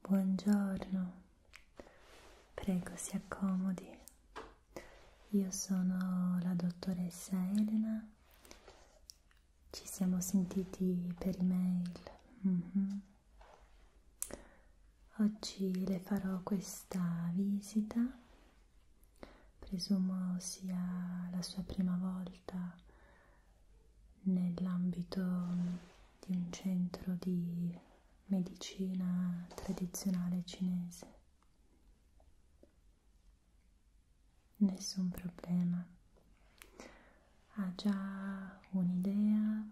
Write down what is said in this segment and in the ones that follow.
Buongiorno, prego si accomodi. Io sono la dottoressa Elena, ci siamo sentiti per email. Mm -hmm. Oggi le farò questa visita, presumo sia la sua prima volta nell'ambito di un centro di medicina tradizionale cinese. Nessun problema. Ha già un'idea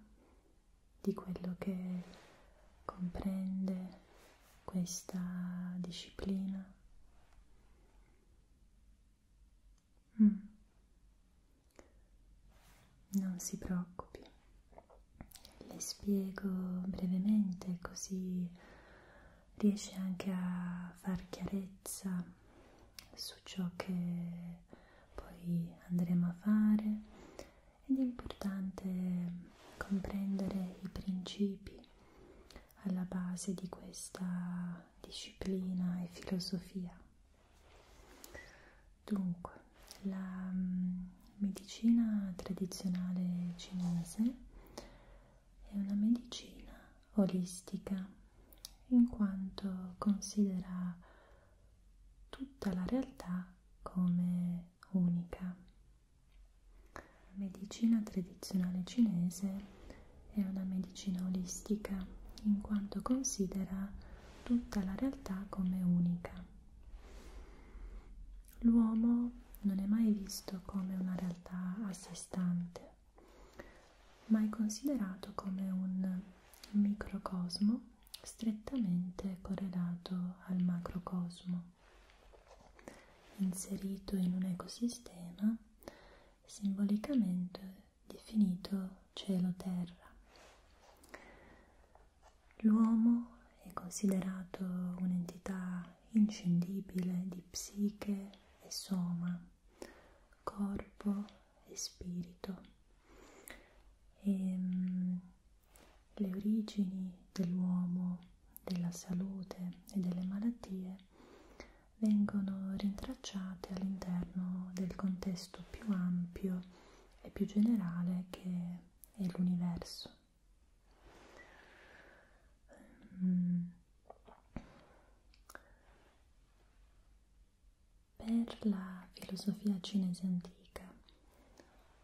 di quello che comprende questa disciplina. Mm. Non si preoccupi, le spiego brevemente così riesce anche a far chiarezza su ciò che poi andremo a fare ed è importante comprendere i principi alla base di questa disciplina e filosofia. Dunque, la mm, medicina tradizionale cinese è una medicina olistica in quanto considera tutta la realtà come unica. La medicina tradizionale cinese è una medicina olistica in quanto considera tutta la realtà come unica. L'uomo non è mai visto come una realtà a sé stante, ma è considerato come un microcosmo strettamente correlato al macrocosmo, inserito in un ecosistema simbolicamente definito cielo-terra. L'uomo è considerato un'entità inscindibile di psiche e soma, corpo e spirito. E, ehm, le origini dell'uomo, della salute e delle malattie vengono rintracciate all'interno del contesto più ampio è più generale che è l'universo. Mm. Per la filosofia cinese antica,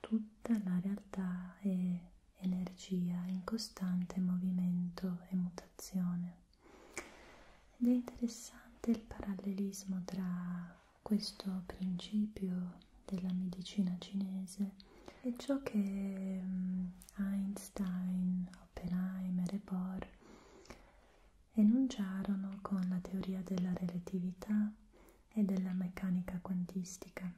tutta la realtà è energia in costante movimento e mutazione. Ed è interessante il parallelismo tra questo principio della medicina cinese e ciò che mm, Einstein, Oppenheimer e Bohr enunciarono con la teoria della relatività e della meccanica quantistica,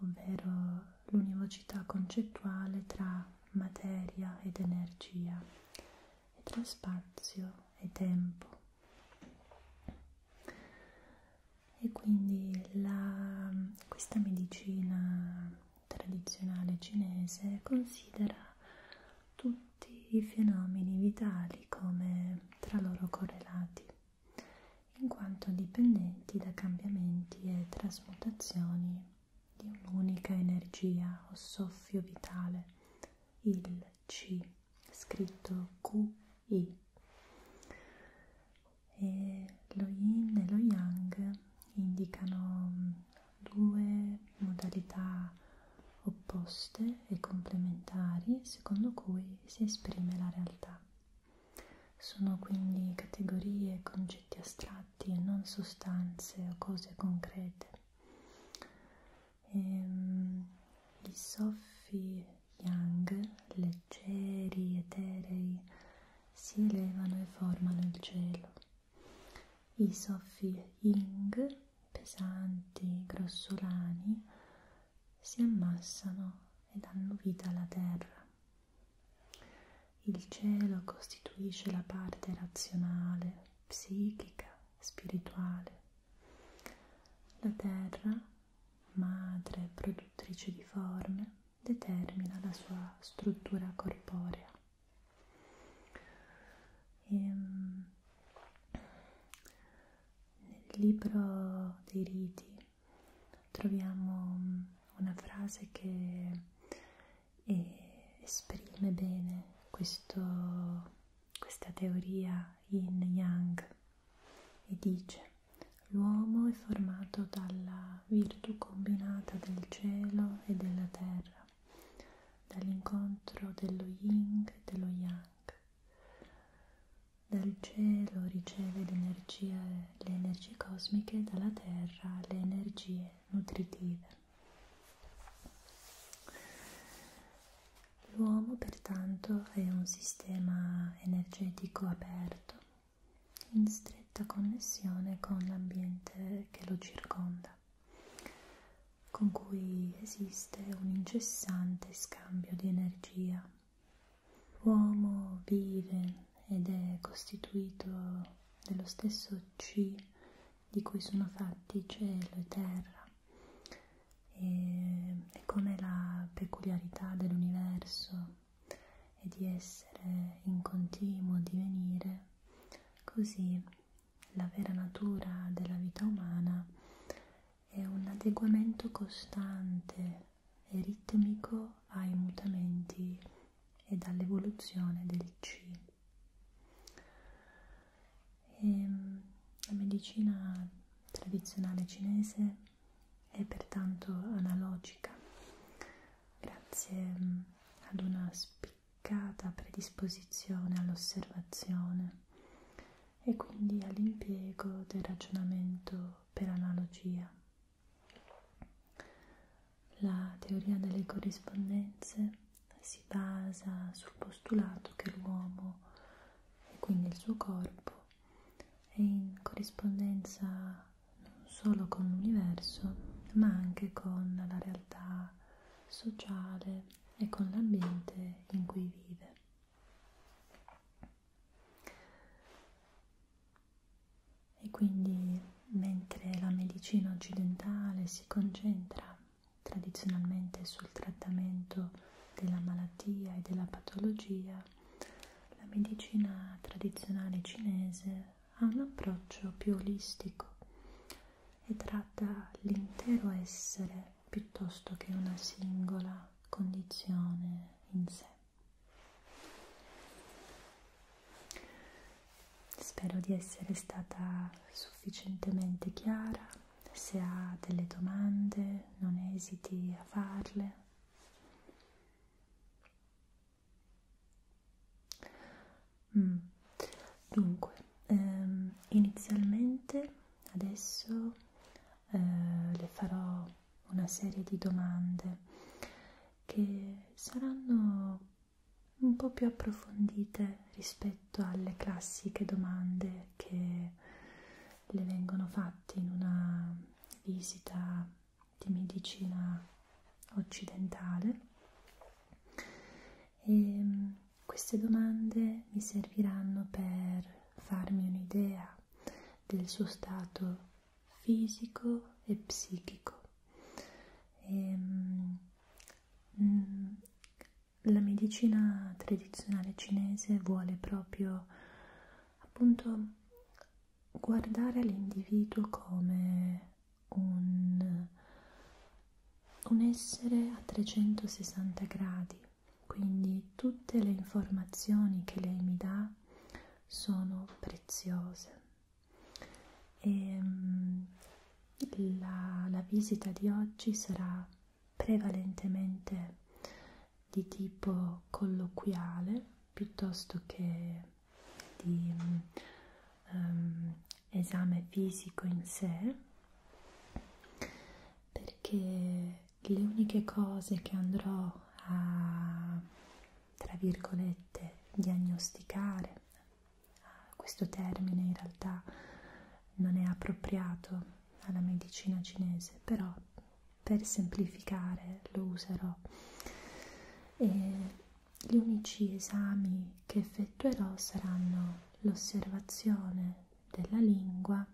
ovvero l'univocità concettuale tra materia ed energia e tra spazio e tempo. E quindi la, questa medicina tradizionale cinese considera tutti i fenomeni vitali come tra loro correlati, in quanto dipendenti da cambiamenti e trasmutazioni di un'unica energia o soffio vitale il C scritto QI e lo yin e lo yang indicano due modalità opposte e complementari secondo cui si esprime la realtà. Sono quindi categorie, concetti astratti e non sostanze o cose concrete ehm, i soffi yang leggeri, eterei si elevano e formano il cielo i soffi ying pesanti, grossolani si ammassano e danno vita alla terra il cielo costituisce la parte razionale, psichica spirituale. La terra, madre produttrice di forme, determina la sua struttura corporea. E, ehm, nel libro dei riti troviamo una frase che e esprime bene questo, questa teoria yin yang e dice l'uomo è formato dalla virtù combinata del cielo e della terra, dall'incontro dello yin e dello yang. Dal cielo riceve le energie, le energie cosmiche, dalla terra le energie nutritive. L'uomo pertanto è un sistema energetico aperto, in stretta connessione con l'ambiente che lo circonda, con cui esiste un incessante scambio di energia. L'uomo vive ed è costituito dello stesso Ci di cui sono fatti cielo e terra e, e come la peculiarità dell'universo e di essere in continuo divenire, così la vera natura della vita umana è un adeguamento costante e ritmico ai mutamenti ed all'evoluzione del cibo. E ehm, la medicina tradizionale cinese è pertanto analogica grazie mm, ad una spiccata predisposizione all'osservazione e quindi all'impiego del ragionamento per analogia. La teoria delle corrispondenze si basa sul postulato che l'uomo e quindi il suo corpo è in corrispondenza non solo con l'universo ma anche con la realtà sociale e con l'ambiente in cui vive. E quindi mentre la medicina occidentale si concentra tradizionalmente sul trattamento della malattia e della patologia, la medicina tradizionale cinese ha un approccio più olistico e tratta l'intero essere piuttosto che una singola condizione in sé. Spero di essere stata sufficientemente chiara, se ha delle domande non esiti a farle. Mm. Dunque, ehm, inizialmente adesso eh, le farò una serie di domande che saranno un po' più approfondite rispetto alle classiche domande che le vengono fatte in una visita di medicina occidentale e mm, queste domande mi serviranno per farmi un'idea del suo stato fisico e psichico e mm, Mm, la medicina tradizionale cinese vuole proprio appunto guardare all'individuo come un, un essere a 360 gradi, quindi tutte le informazioni che lei mi dà sono preziose e ehm, la, la visita di oggi sarà prevalentemente di tipo colloquiale piuttosto che di um, esame fisico in sé perché le uniche cose che andrò a tra virgolette diagnosticare questo termine in realtà non è appropriato alla medicina cinese, però per semplificare lo userò. E gli unici esami che effettuerò saranno l'osservazione della lingua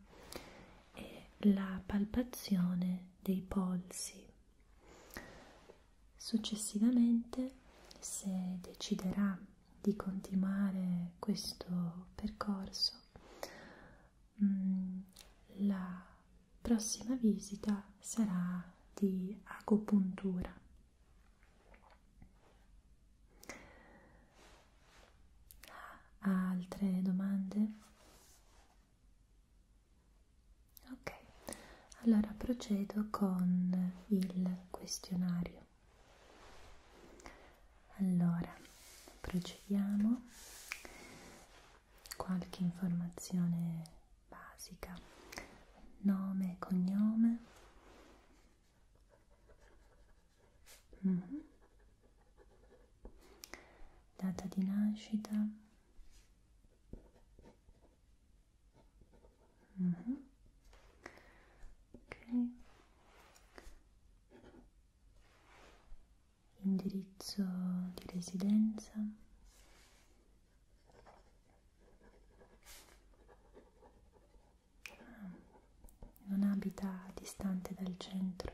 e la palpazione dei polsi. Successivamente, se deciderà di continuare questo percorso, mm, la prossima visita sarà di acupuntura. Ha altre domande? Ok, allora procedo con il questionario. Allora, procediamo. Qualche informazione basica. Nome e cognome. Mm -hmm. Data di nascita. Mm -hmm. Ok. Indirizzo di residenza. Ah, non abita distante dal centro.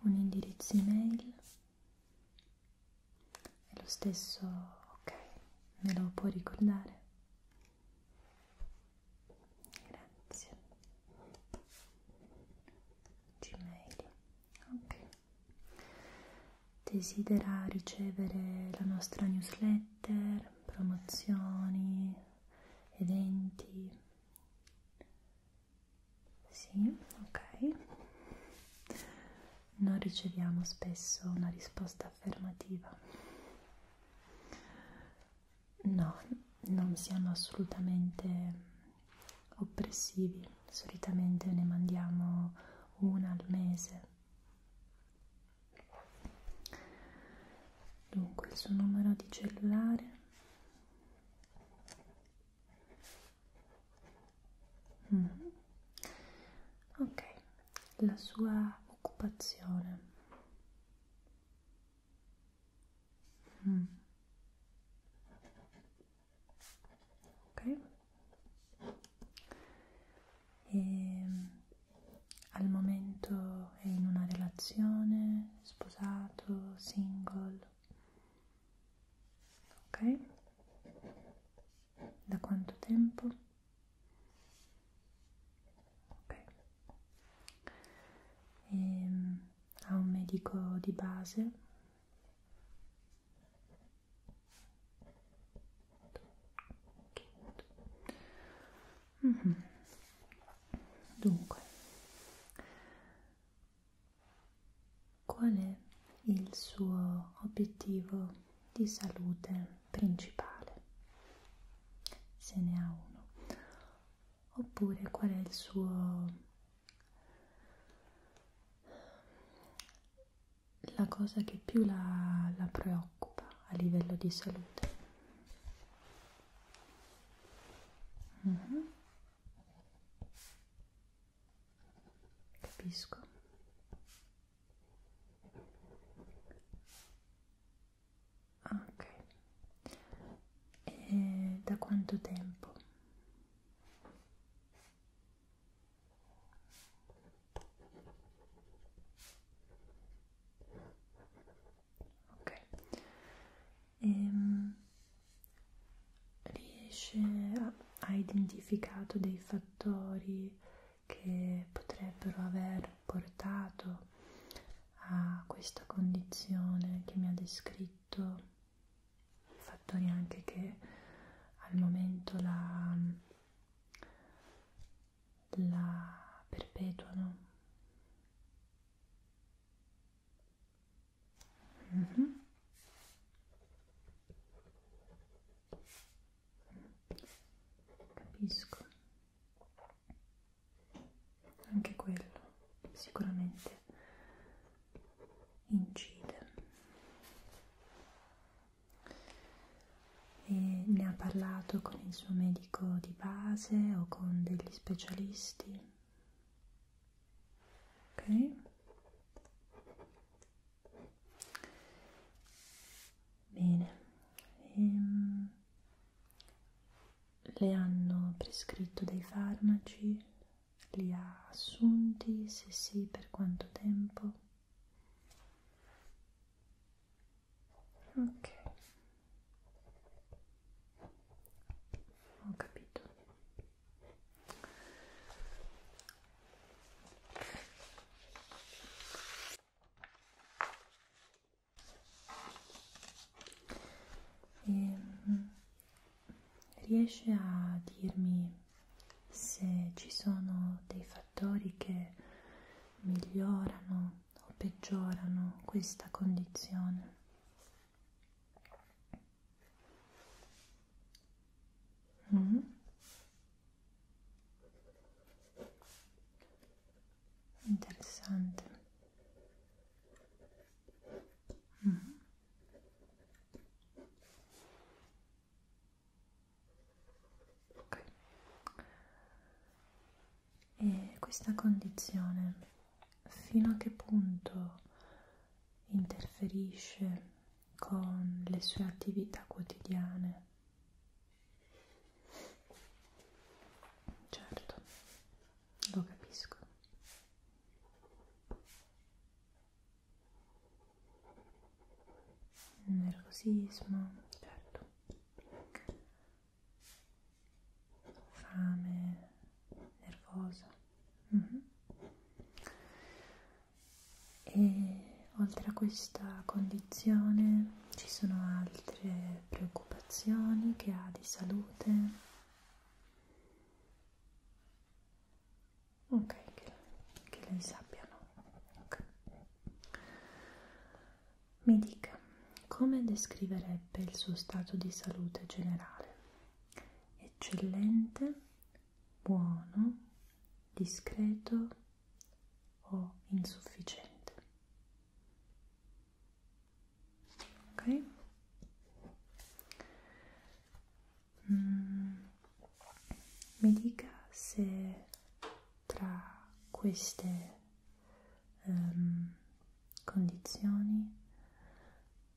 Un indirizzo email è lo stesso, ok, me lo può ricordare? Grazie. Gmail. Ok. Desidera ricevere la nostra newsletter, promozioni, eventi? Sì, ok non riceviamo spesso una risposta affermativa. No, non siamo assolutamente oppressivi, solitamente ne mandiamo una al mese. Dunque il suo numero di cellulare Mm -hmm. Ok, la sua occupazione. Mm. Ok. E ehm, al momento è in una relazione, sposato, single? ok? Da quanto tempo? Ok. E, ehm, ha un medico di base? Mm -hmm. Dunque, Qual è il suo obiettivo di salute principale? Se ne ha uno. Oppure qual è il suo... la cosa che più la, la preoccupa a livello di salute? Mm -hmm capisco ah, ok e eh, da quanto tempo ok ehm, riesce a ha identificato dei fattori che potrebbero aver portato a questa condizione che mi ha descritto, fattori anche che al momento la, la perpetuano. Mm -hmm. Capisco. Anche quello sicuramente incide. E ne ha parlato con il suo medico di base o con degli specialisti? Ok. Bene, ehm, le hanno prescritto dei farmaci? Li ha assunti? Se sì, per quanto tempo? Ok, ho capito. E mm, riesce a dirmi se ci sono dei fattori che migliorano o peggiorano questa condizione? Mm. Interessante. Mm. Okay. E questa condizione fino a che punto interferisce con le sue attività quotidiane. Certo, lo capisco. Nervosismo, certo. Fame, nervosa. Mm -hmm e oltre a questa condizione ci sono altre preoccupazioni che ha di salute ok che, che lei sappiano okay. mi dica come descriverebbe il suo stato di salute generale eccellente buono, discreto o insufficiente. Ok? Mm, mi dica se tra queste um, condizioni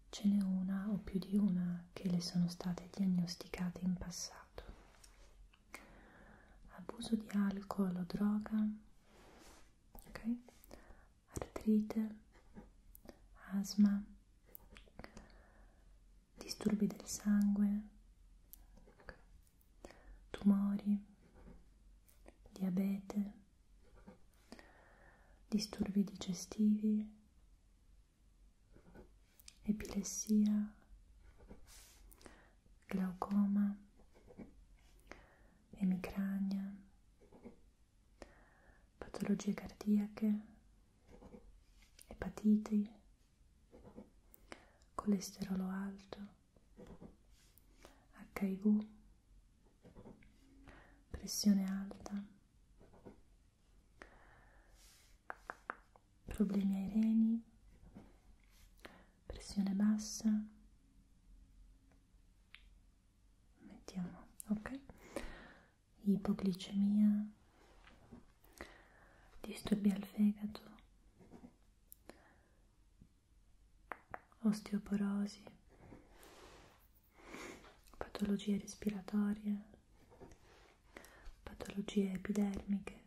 ce n'è una o più di una che le sono state diagnosticate in passato passato. Abuso di alcol o droga, okay? artrite, asma, disturbi del sangue, tumori, diabete, disturbi digestivi, epilessia, glaucoma, emicrania, patologie cardiache, epatiti, colesterolo alto, HIV, pressione alta problemi ai reni, pressione bassa, mettiamo, ok? Ipoglicemia, disturbi al fegato, osteoporosi, patologie respiratorie, patologie epidermiche,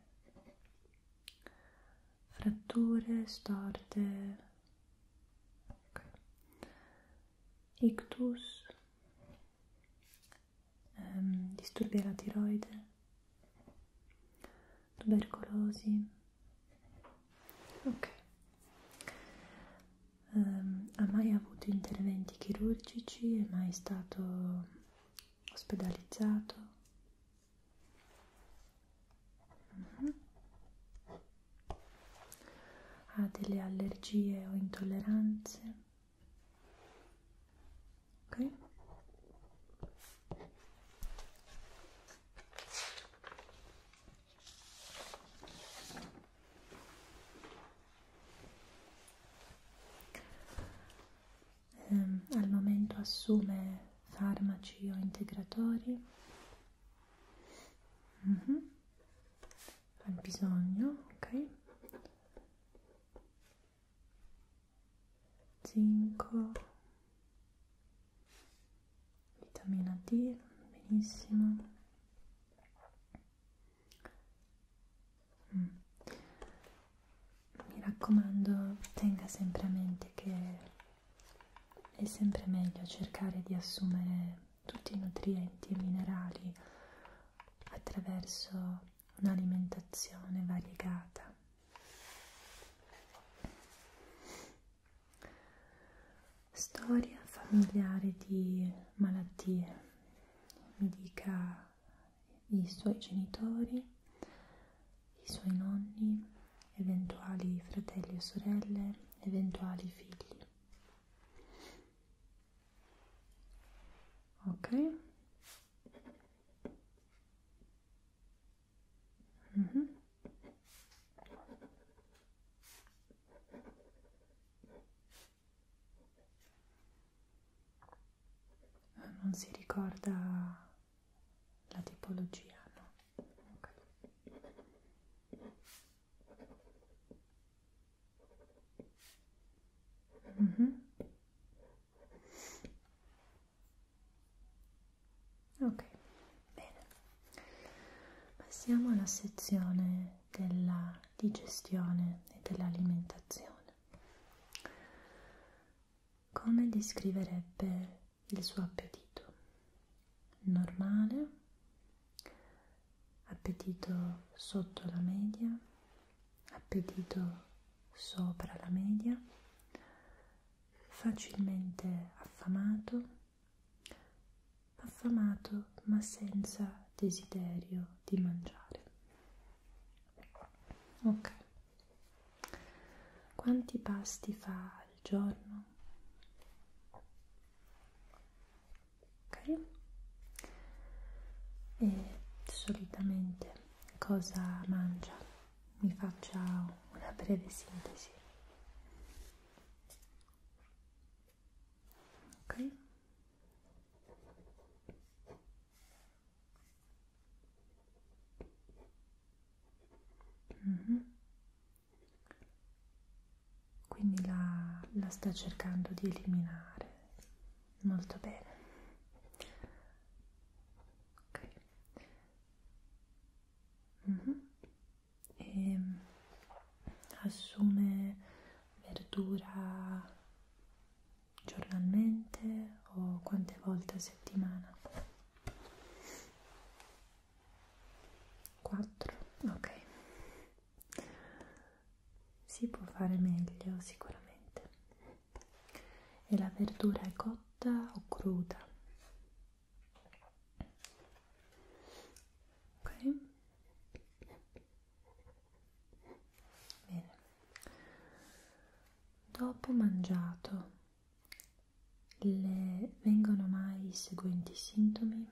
fratture, storte, okay. ictus, ehm, disturbi alla tiroide, tubercolosi. Ok. Um, ha mai avuto interventi chirurgici? È mai stato ospedalizzato uh mhm. -huh. ha delle allergie o intolleranze ok Ehm, al momento assume farmaci o integratori. Mm -hmm. Al bisogno, ok. Zinco, vitamina D, benissimo. Mm. Mi raccomando, tenga sempre a mente che è sempre meglio cercare di assumere tutti i nutrienti e minerali attraverso un'alimentazione variegata. Storia familiare di malattie. Mi dica i suoi genitori, i suoi nonni, eventuali fratelli e sorelle, eventuali figli. Ok? Mm -hmm. Ah, non si ricorda la tipologia, no? Okay. Mm -hmm. Ok, bene. Passiamo alla sezione della digestione e dell'alimentazione. Come descriverebbe il suo appetito? Normale? Appetito sotto la media? Appetito sopra la media? Facilmente affamato? Affamato ma senza desiderio di mangiare. Ok. Quanti pasti fa al giorno? Ok. E solitamente cosa mangia? Mi faccia una breve sintesi. Ok. Mm-hmm. Quindi la, la sta cercando di eliminare. Molto bene. Ok. Mm-hmm. Ehm, e assume verdura giornalmente o quante volte a settimana? 4, ok. Si può fare meglio sicuramente. E la verdura è cotta o cruda? Ok. Bene. Dopo mangiato le vengono mai i seguenti sintomi?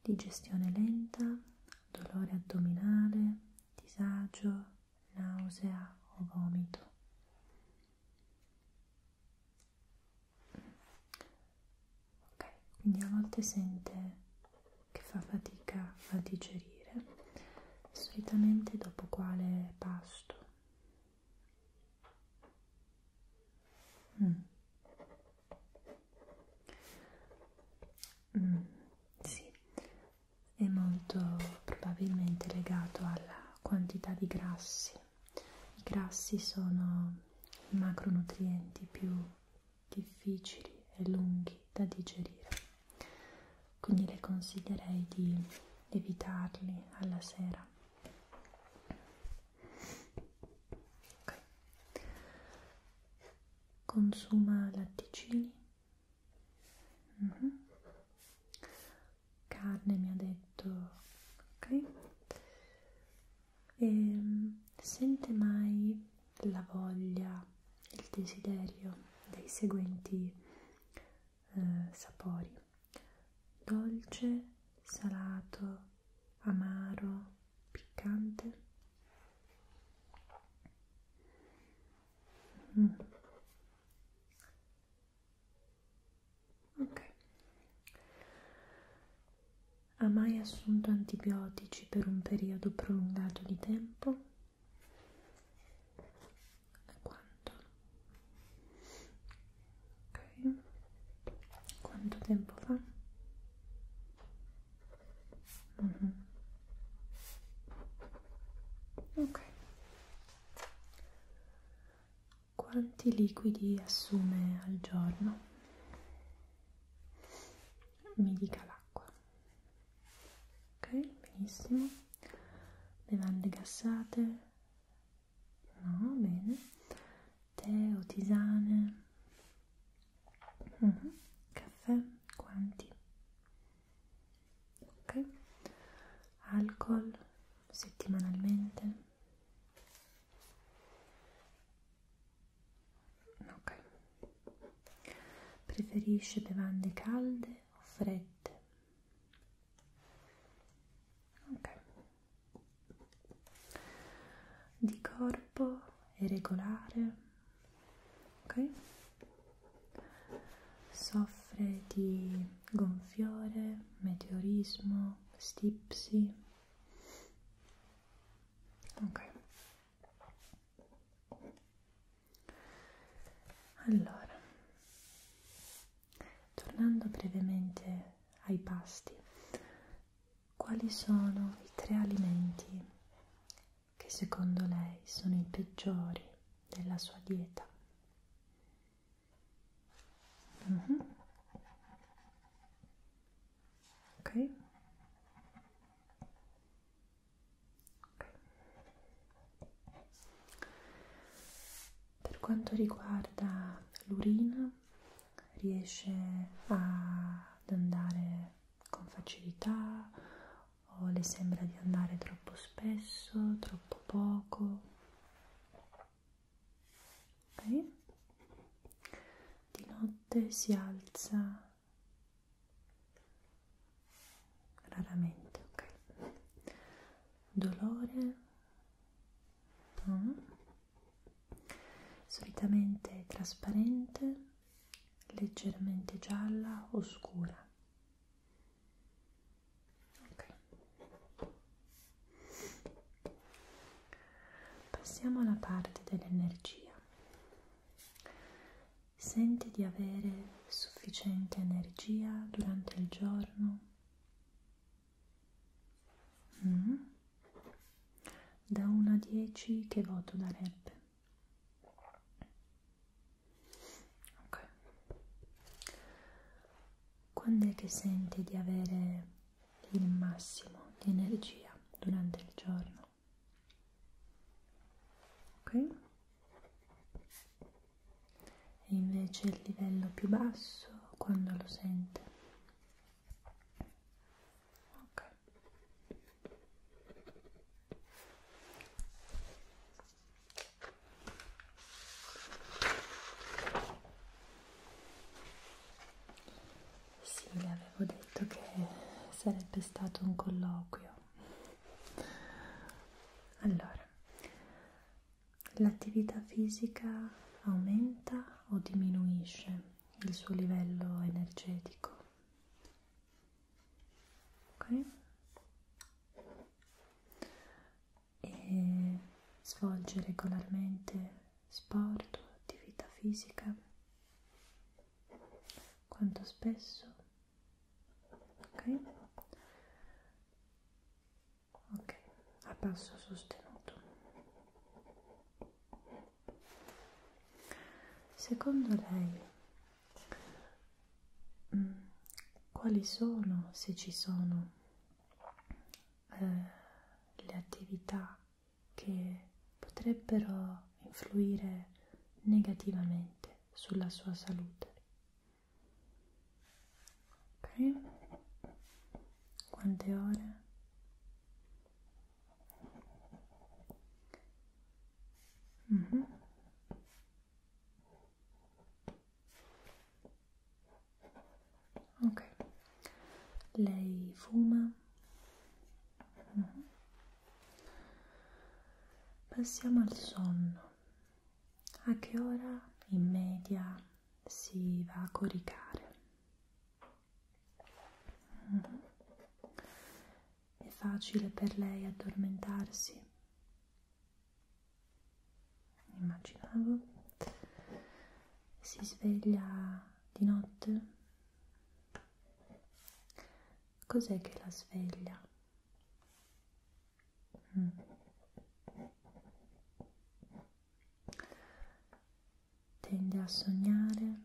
Digestione lenta, dolore addominale, disagio, nausea o vomito ok? Quindi a volte sente che fa fatica a digerire, solitamente dopo quale pasto? Mm. Mm, sì, è molto probabilmente legato alla quantità di grassi. I grassi sono i macronutrienti più difficili e lunghi da digerire, quindi le consiglierei di evitarli alla sera. Okay. Consuma latticini, mm -hmm. carne mi ha detto, ok? E ehm, sente mai la voglia, il desiderio dei seguenti eh, sapori: dolce, salato, amaro, piccante. Mm. Ok, ha mai assunto antibiotici per un periodo prolungato di tempo? E quanto? Ok. Quanto tempo fa? Mm -hmm. Ok. Quanti liquidi assume al giorno? mi dica l'acqua ok benissimo bevande gassate no bene tè o tisane uh mhm. -huh. caffè quanti ok alcol settimanalmente Ok. Preferisce bevande calde o fredde? Ok. Di corpo è regolare? Ok. Soffre di gonfiore, meteorismo, stipsi? Ok. Allora, tornando brevemente ai pasti, quali sono i tre alimenti che secondo lei sono i peggiori della sua dieta? Mm -hmm. Ok. Per quanto riguarda l'urina, riesce a, ad andare con facilità o le sembra di andare troppo spesso, troppo poco? Okay. Di notte si alza Raramente, ok. Dolore? No. Mm. Solitamente trasparente, leggermente gialla o scura. Ok. Passiamo alla parte dell'energia. Senti di avere sufficiente energia durante il giorno? Mm? Da 1 a 10 che voto darebbe? Ok. Quando è che senti di avere il massimo di energia durante il giorno? ok e invece il livello più basso quando lo sente ok sì, le avevo detto che sarebbe stato un colloquio. Allora, l'attività fisica aumenta o diminuisce il suo livello energetico? Ok? E svolge regolarmente sport o attività fisica? quanto spesso ok ok a passo sostenuto secondo lei mm, quali sono se ci sono eh, le attività che potrebbero influire negativamente sulla sua salute. Ok? Quante ore? Mm -hmm. Ok, lei fuma? Mm -hmm. Passiamo al sonno. A che ora in media si va a coricare? Mm -hmm. È facile per lei addormentarsi? Immaginavo. Si sveglia di notte? Cos'è che la sveglia? Mm. Tende a sognare.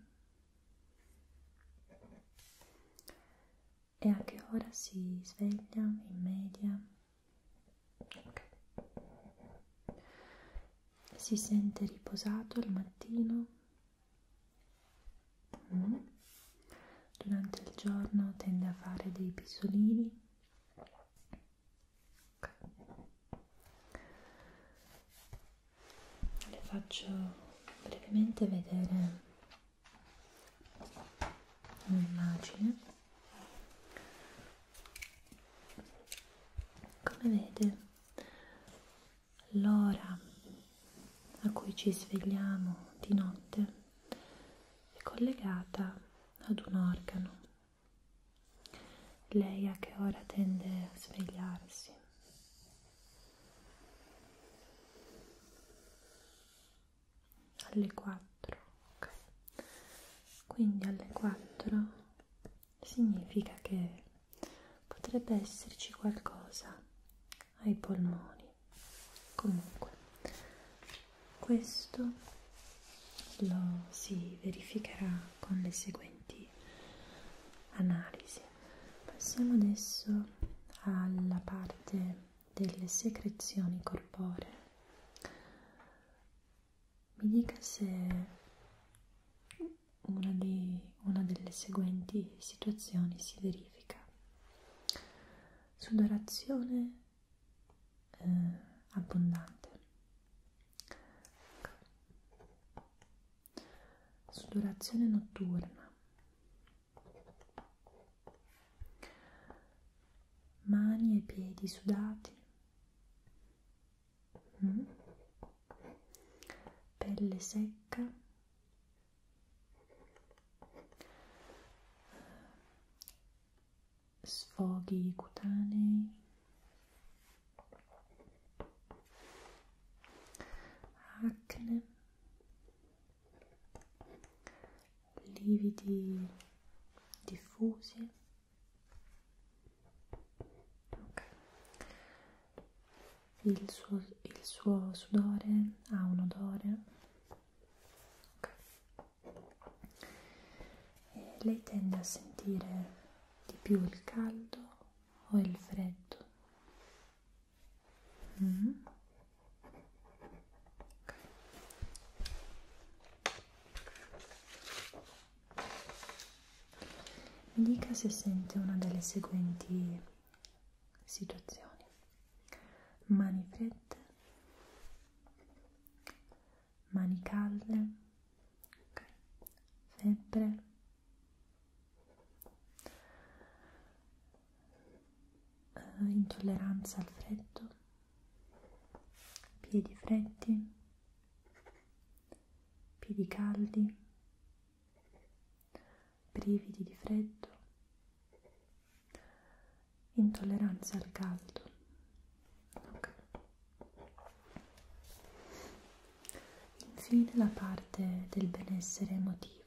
E a che ora si sveglia in media? Okay. Si sente riposato al mattino? Mm. Durante il giorno tende a fare dei pisolini. Okay. Le faccio brevemente vedere un'immagine. Come vede l'ora a cui ci svegliamo di notte è collegata ad un organo. Lei a che ora tende a svegliarsi? Alle 4, ok. Quindi alle 4 significa che potrebbe esserci qualcosa ai polmoni. Comunque, questo lo si verificherà con le seguenti analisi. Passiamo adesso alla parte delle secrezioni corporee. Mi dica se una, dei, una delle seguenti situazioni si verifica. Sudorazione eh, abbondante. Sudorazione notturna. Mani e piedi sudati, Mm. Pelle secca, sfoghi cutanei, acne, lividi diffusi Okay. Il, suo, il suo sudore ha un odore. Okay. E lei tende a sentire di più il caldo o il freddo? Mm. Okay. Mi dica se sente una delle seguenti situazioni. Mani fredde, mani calde, okay. febbre, eh, intolleranza al freddo, piedi freddi, piedi caldi brividi di freddo, intolleranza al caldo. Okay. Infine la parte del benessere emotivo.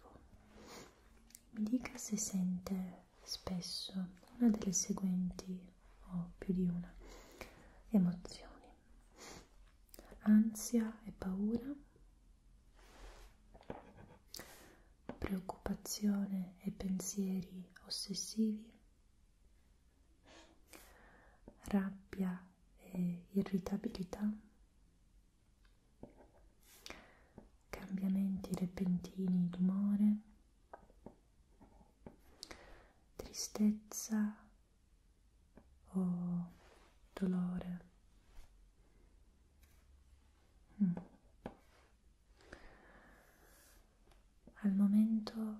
Mi dica se sente spesso una delle seguenti o più di una emozioni ansia e paura, preoccupazione e pensieri ossessivi, rabbia e irritabilità, cambiamenti repentini d'umore, tristezza o dolore. Mm. Al momento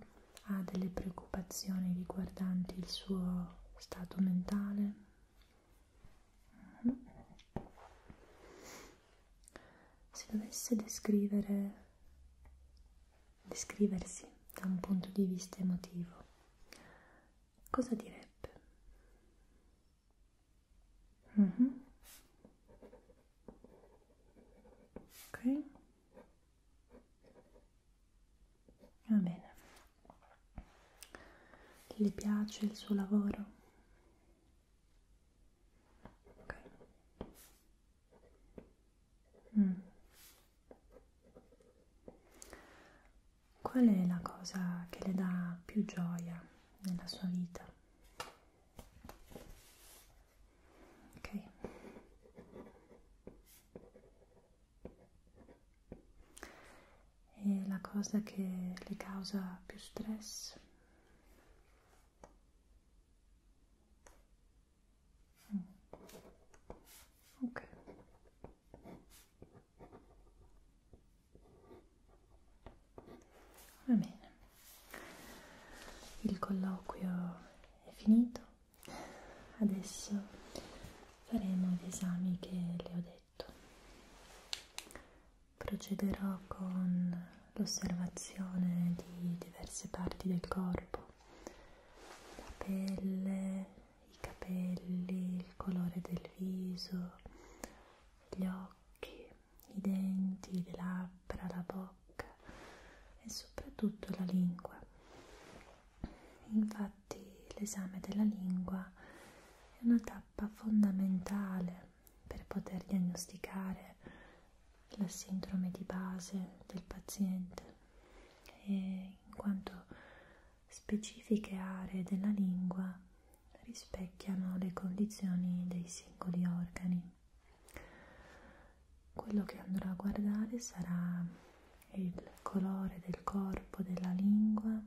ha delle preoccupazioni riguardanti il suo stato mentale. Mm. Se dovesse descrivere descriversi da un punto di vista emotivo, cosa direbbe? Mm -hmm. Ok. Va bene. Le piace il suo lavoro? Ok. Mm. Qual è la cosa che le dà più gioia nella sua vita? Ok. E la cosa che le causa più stress? ok va bene il colloquio è finito adesso faremo gli esami che le ho detto procederò con l'osservazione di diverse parti del corpo la pelle i capelli, il colore del viso, gli occhi, i denti, le labbra, la bocca e soprattutto la lingua. Infatti l'esame della lingua è una tappa fondamentale per poter diagnosticare la sindrome di base del paziente e in quanto specifiche aree della lingua rispecchiano le condizioni dei singoli organi. Quello che andrò a guardare sarà il colore del corpo della lingua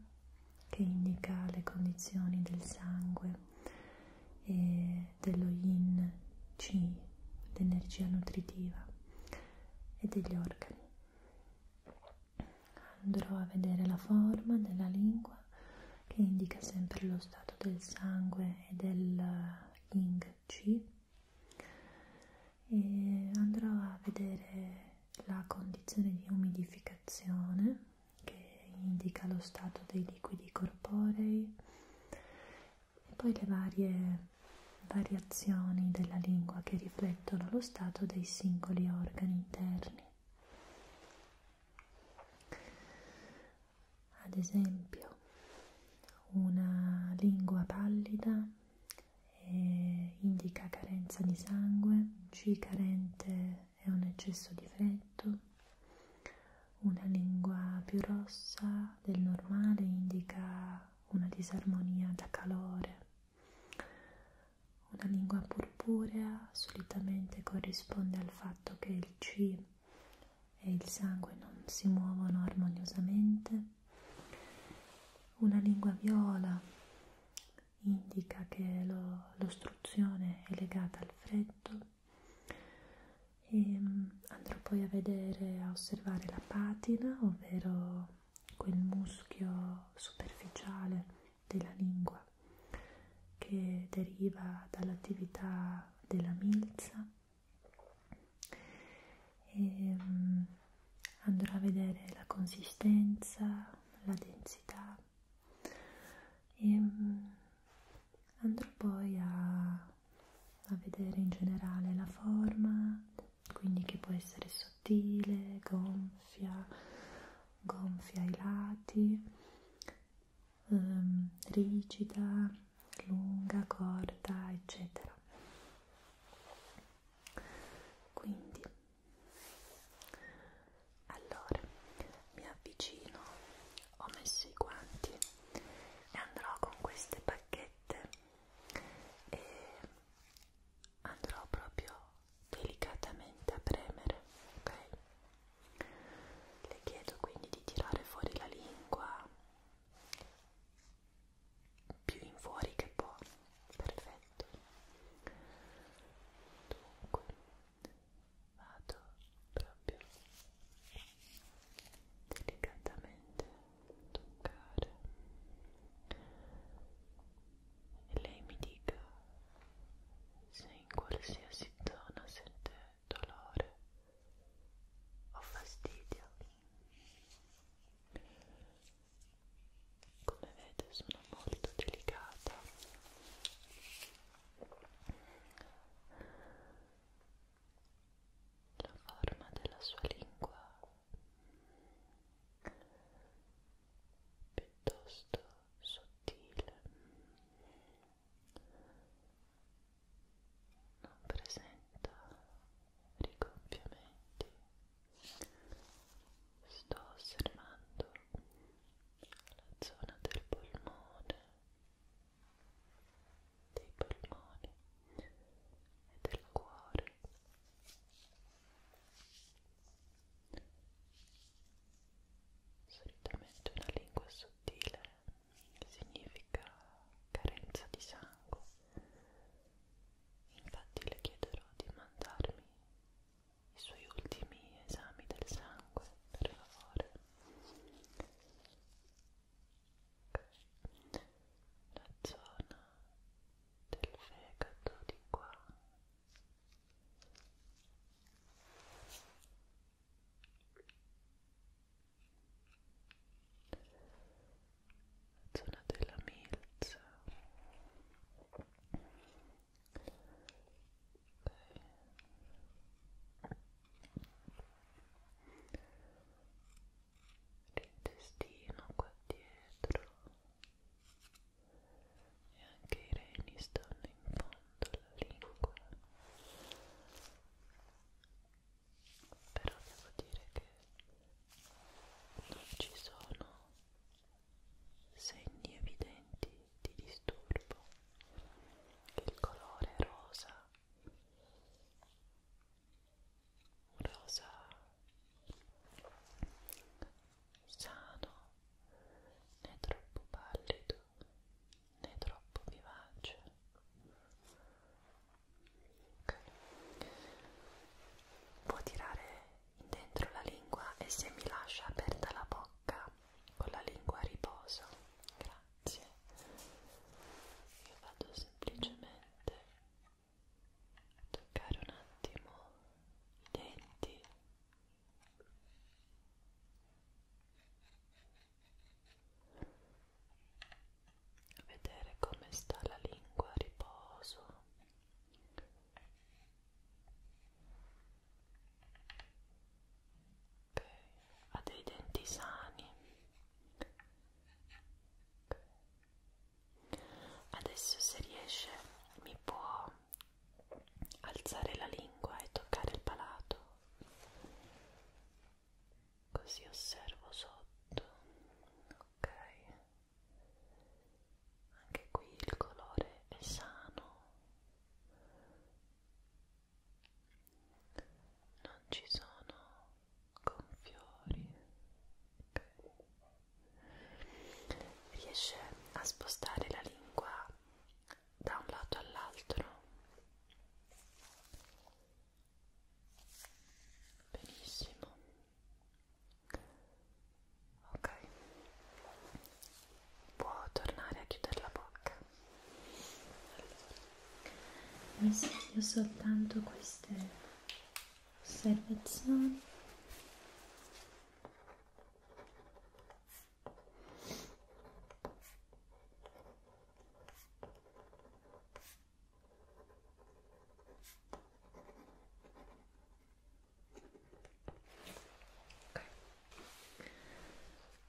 che indica le condizioni del sangue e dello yin chi, l'energia nutritiva e degli organi andrò a vedere la forma della lingua che indica sempre lo stato del sangue e del uh, Ying Qi e andrò a vedere la condizione di umidificazione che indica lo stato dei liquidi corporei e poi le varie variazioni della lingua che riflettono lo stato dei singoli organi interni. Ad esempio, una lingua pallida eh, indica carenza di sangue, C carente è un eccesso di freddo, una lingua più rossa del normale indica una disarmonia da calore una lingua purpurea solitamente corrisponde al fatto che il Qi e il sangue non si muovono armoniosamente. Una lingua viola indica che l'ostruzione lo, è legata al freddo. E ehm, andrò poi a vedere, a osservare la patina, ovvero quel muschio superficiale della lingua che deriva dall'attività della milza e ehm, andrò a vedere la consistenza, la densità e ehm, andrò poi a, a vedere in generale la forma quindi che può essere sottile, gonfia, gonfia ai lati, ehm, rigida, lunga, corta, eccetera. Quindi, allora mi avvicino, ho messo i guanti e andrò con queste pacchette e andrò proprio delicatamente a premere, ok? Le chiedo quindi di tirare fuori la lingua più in fuori che può, perfetto. Dunque, vado proprio delicatamente toccare e lei mi dica se in qualsiasi zona sente dolore o fastidio come vede sono molto delicata la forma della sua lingua piuttosto sottile non presenta rigonfiamenti sto osservando la zona del polmone dei polmoni e del cuore solitamente una lingua sottile significa carenza di sangue infatti le chiederò di mandarmi i suoi ultimi esami del sangue per favore la zona del fegato di qua la zona della milza okay l'intestino qua dietro e anche i reni stanno in fondo alla lingua però devo dire che non ci sono segni evidenti di disturbo il colore rosa un rosa sano né troppo pallido né troppo vivace okay. può tirare dentro la lingua e se mi lascia aperta la bocca con la lingua a riposo grazie io vado semplicemente toccare un attimo i denti vedere come sta la lingua a riposo okay. ha dei denti sani okay. Adesso se riesce mi può alzare la lingua e toccare il palato. Così osservo sotto. Ok. Anche qui il colore è sano. Non ci sono con fiori okay. riesce a spostare la lingua da un lato all'altro benissimo ok può tornare a chiudere la bocca allora. mi io soltanto queste osservazioni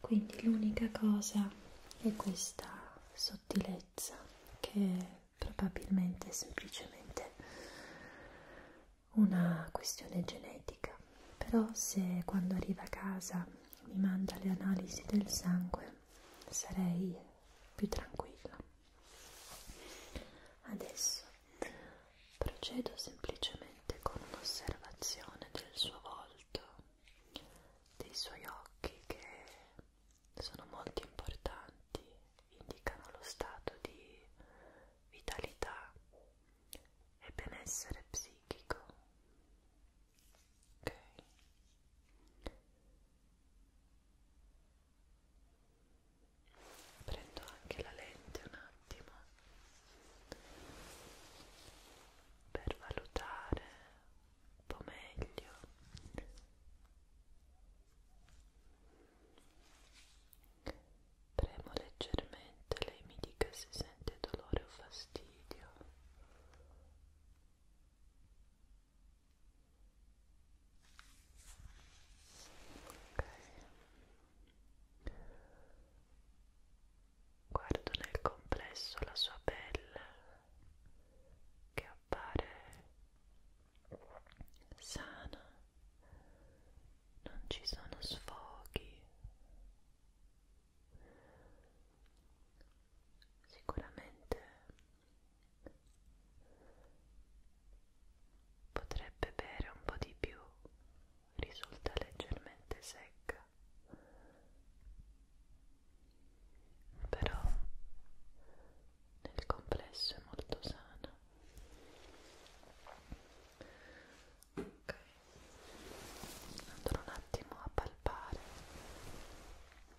okay. quindi l'unica cosa è questa sottilezza che probabilmente è semplicemente una questione genetica. Però se quando arriva a casa mi manda le analisi del sangue sarei più tranquilla. Adesso procedo semplicemente con un'osservazione del suo volto, dei suoi occhi che sono molto importanti, indicano lo stato di vitalità e benessere psichico. Ok. Prendo anche la lente un attimo per valutare un po' meglio premo leggermente lei mi dica se sente dolore o fastidio ok guardo nel complesso la sua pelle che appare sana, non ci sono sfoghi. Sicuramente potrebbe bere un po' di più, risulta leggermente secca, però nel complesso è molto sana ok andrò un attimo a palpare ok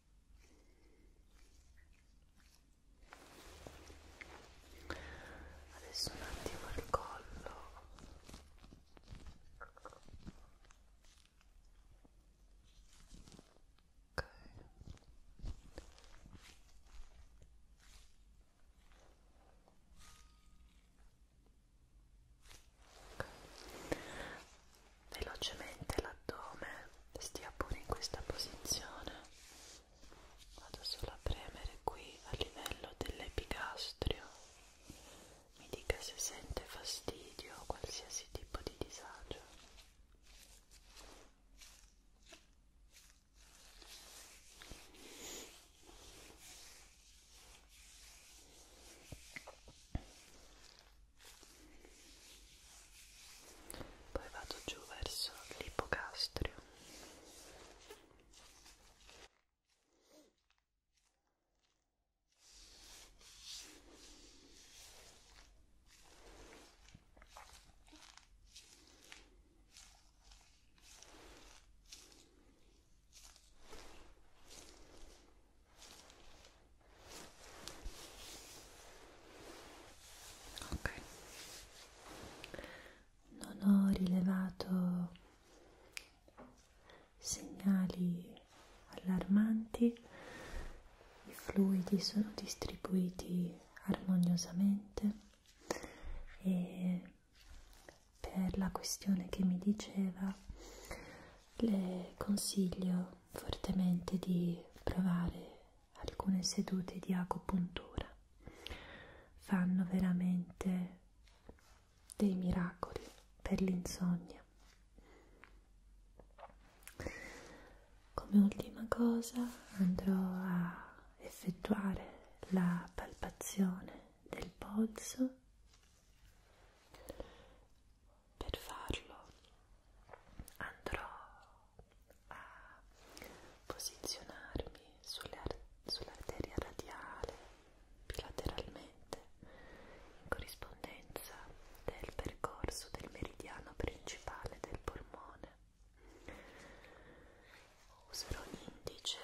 adesso un attimo il collo ok velocemente l'addome, stia pure in questa posizione. Vado solo a premere qui a livello dell'epigastrio. Mi dica se sente fastidio o qualsiasi tipo di disagio poi vado giù verso l'ipocastrio ok non ho rilevato segnali allarmanti i fluidi sono distribuiti armoniosamente e per la questione che mi diceva le consiglio fortemente di provare alcune sedute di acupuntura. Fanno veramente dei miracoli per l'insonnia. Come ultima cosa andrò a effettuare la palpazione del polso per farlo andrò a posizionarmi sull'arteria sull radiale bilateralmente in corrispondenza del percorso del meridiano principale del polmone. Userò un indice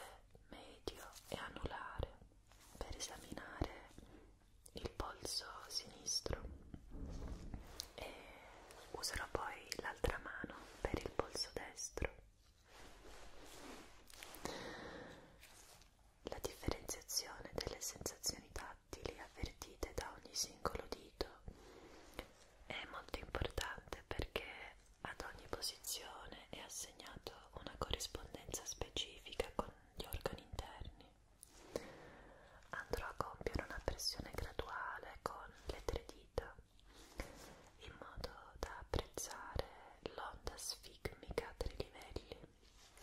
medio e anulare per esaminare il polso sinistro e userò poi l'altra mano per il polso destro. La differenziazione delle sensazioni tattili avvertite da ogni singolo dito è molto importante perché ad ogni posizione è assegnato una corrispondenza specifica con gli organi interni. Andrò a compiere una pressione graduale con le tre dita in modo da apprezzare l'onda sfigmica a tre livelli,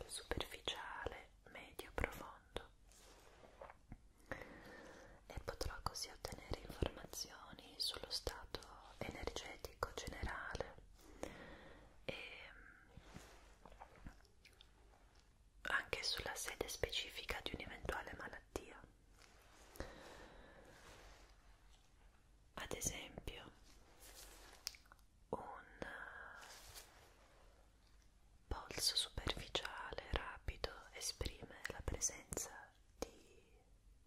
superficiale, medio, profondo e potrò così ottenere informazioni sullo stato energetico generale e anche sulla sede specifica di un'eventuale malattia. Ad esempio, un polso superficiale rapido esprime la presenza di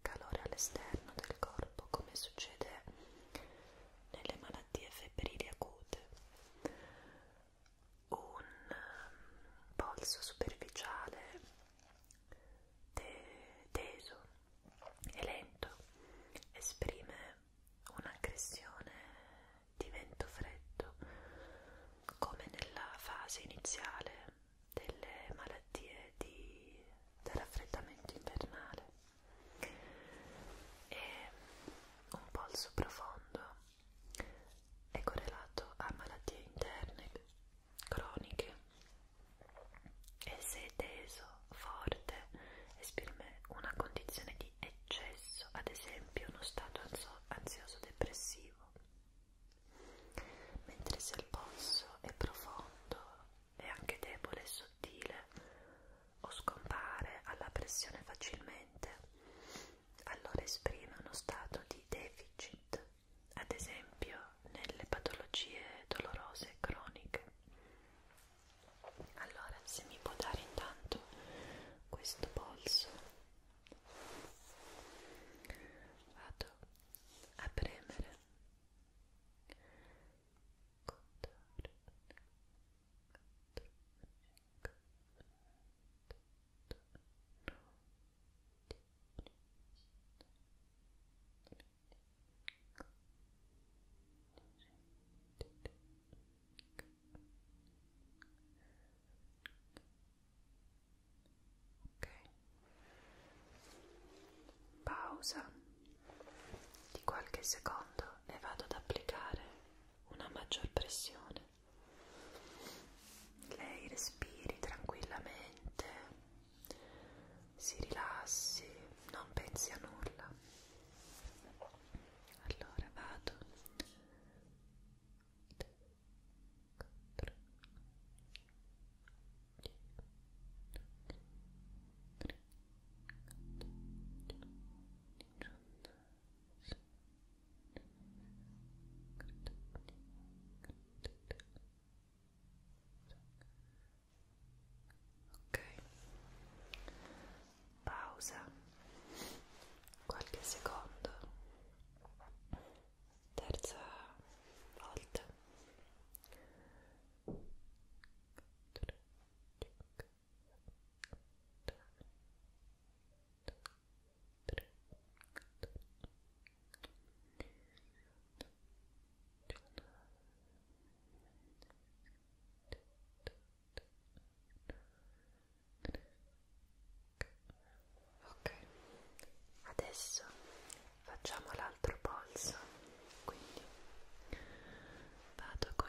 calore all'esterno del corpo, come succede nelle malattie febbrili acute un um, polso superficiale te teso e lento esprime un'aggressione di vento freddo come nella fase iniziale delle malattie di, del raffreddamento invernale e un polso profondo è correlato a malattie interne croniche e se teso, forte, esprime una condizione di eccesso, ad esempio uno stato ansioso-depressivo, mentre se il polso è profondo e anche debole e sottile o scompare alla pressione facilmente, allora esprime uno stato di deficit, ad esempio nelle patologie dolorose e croniche. Allora, se mi può dare intanto questo polso, vado a premere. Contorno, Pausa di qualche secondo e vado ad applicare una maggior pressione. Lei respiri tranquillamente, si rilassi, non pensi a nulla. Allora vado. Giunto ok pausa qualche secondo terza volta Tic, tic, Ok, adesso facciamo l'altro polso, quindi vado con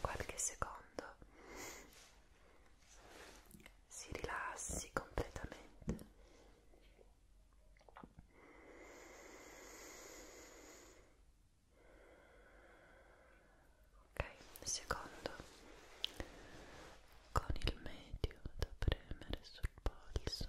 qualche secondo si rilassi completamente ok secondo con il medio da premere sul polso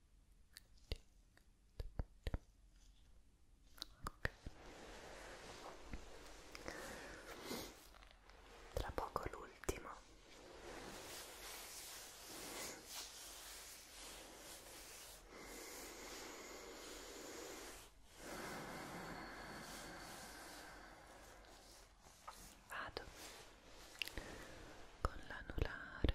Tra poco l'ultimo. Vado con l'anulare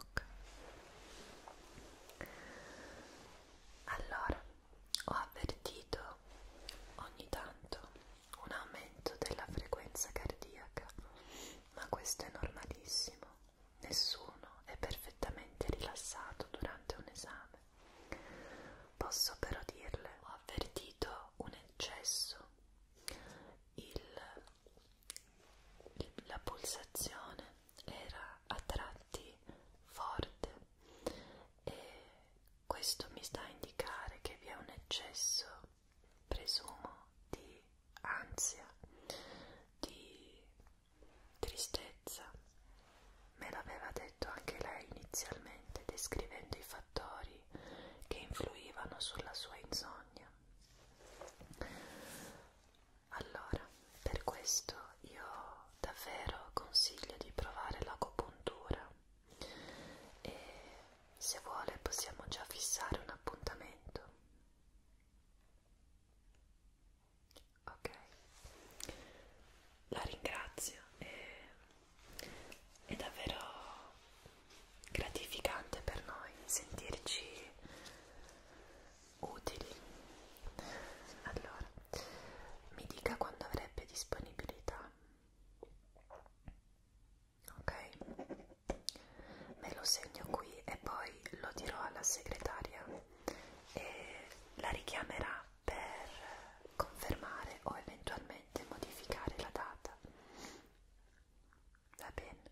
ok allora ho avvertito ogni tanto un aumento della frequenza cardiaca ma questo è normalissimo nessuno è perfettamente rilassato durante un esame posso però dirle ho avvertito un eccesso il, il, la pulsazione era a tratti forte e questo mi sta a indicare che vi è un eccesso, presumo, di ansia, di tristezza. Me l'aveva detto anche lei inizialmente, descrivendo i fattori che influivano sulla sua insonnia montagna allora per questo io davvero consiglio di provare l'agopuntura e se vuole possiamo già fissare un appuntamento ok la ringrazio e è davvero gratificante per noi sentirci utili allora mi dica quando avrebbe disponibilità ok me lo segno qui e poi lo dirò alla segretaria e la richiamerà per confermare o eventualmente modificare la data Va bene.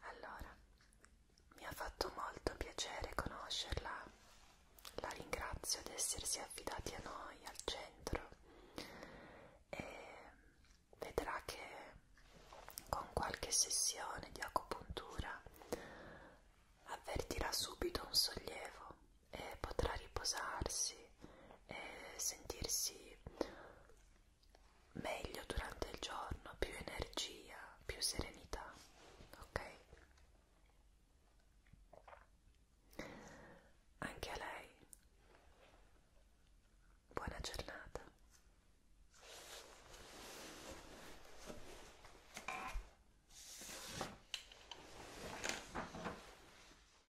Allora, mi ha fatto molto piacere conoscerla. La ringrazio di essersi affidati a noi, al centro. E vedrà che con qualche sessione di acupuntura avvertirà subito un sollievo e potrà riposarsi e eh, sentirsi meglio durante il giorno, più energia, più serenità, ok? Anche a lei. Buona giornata.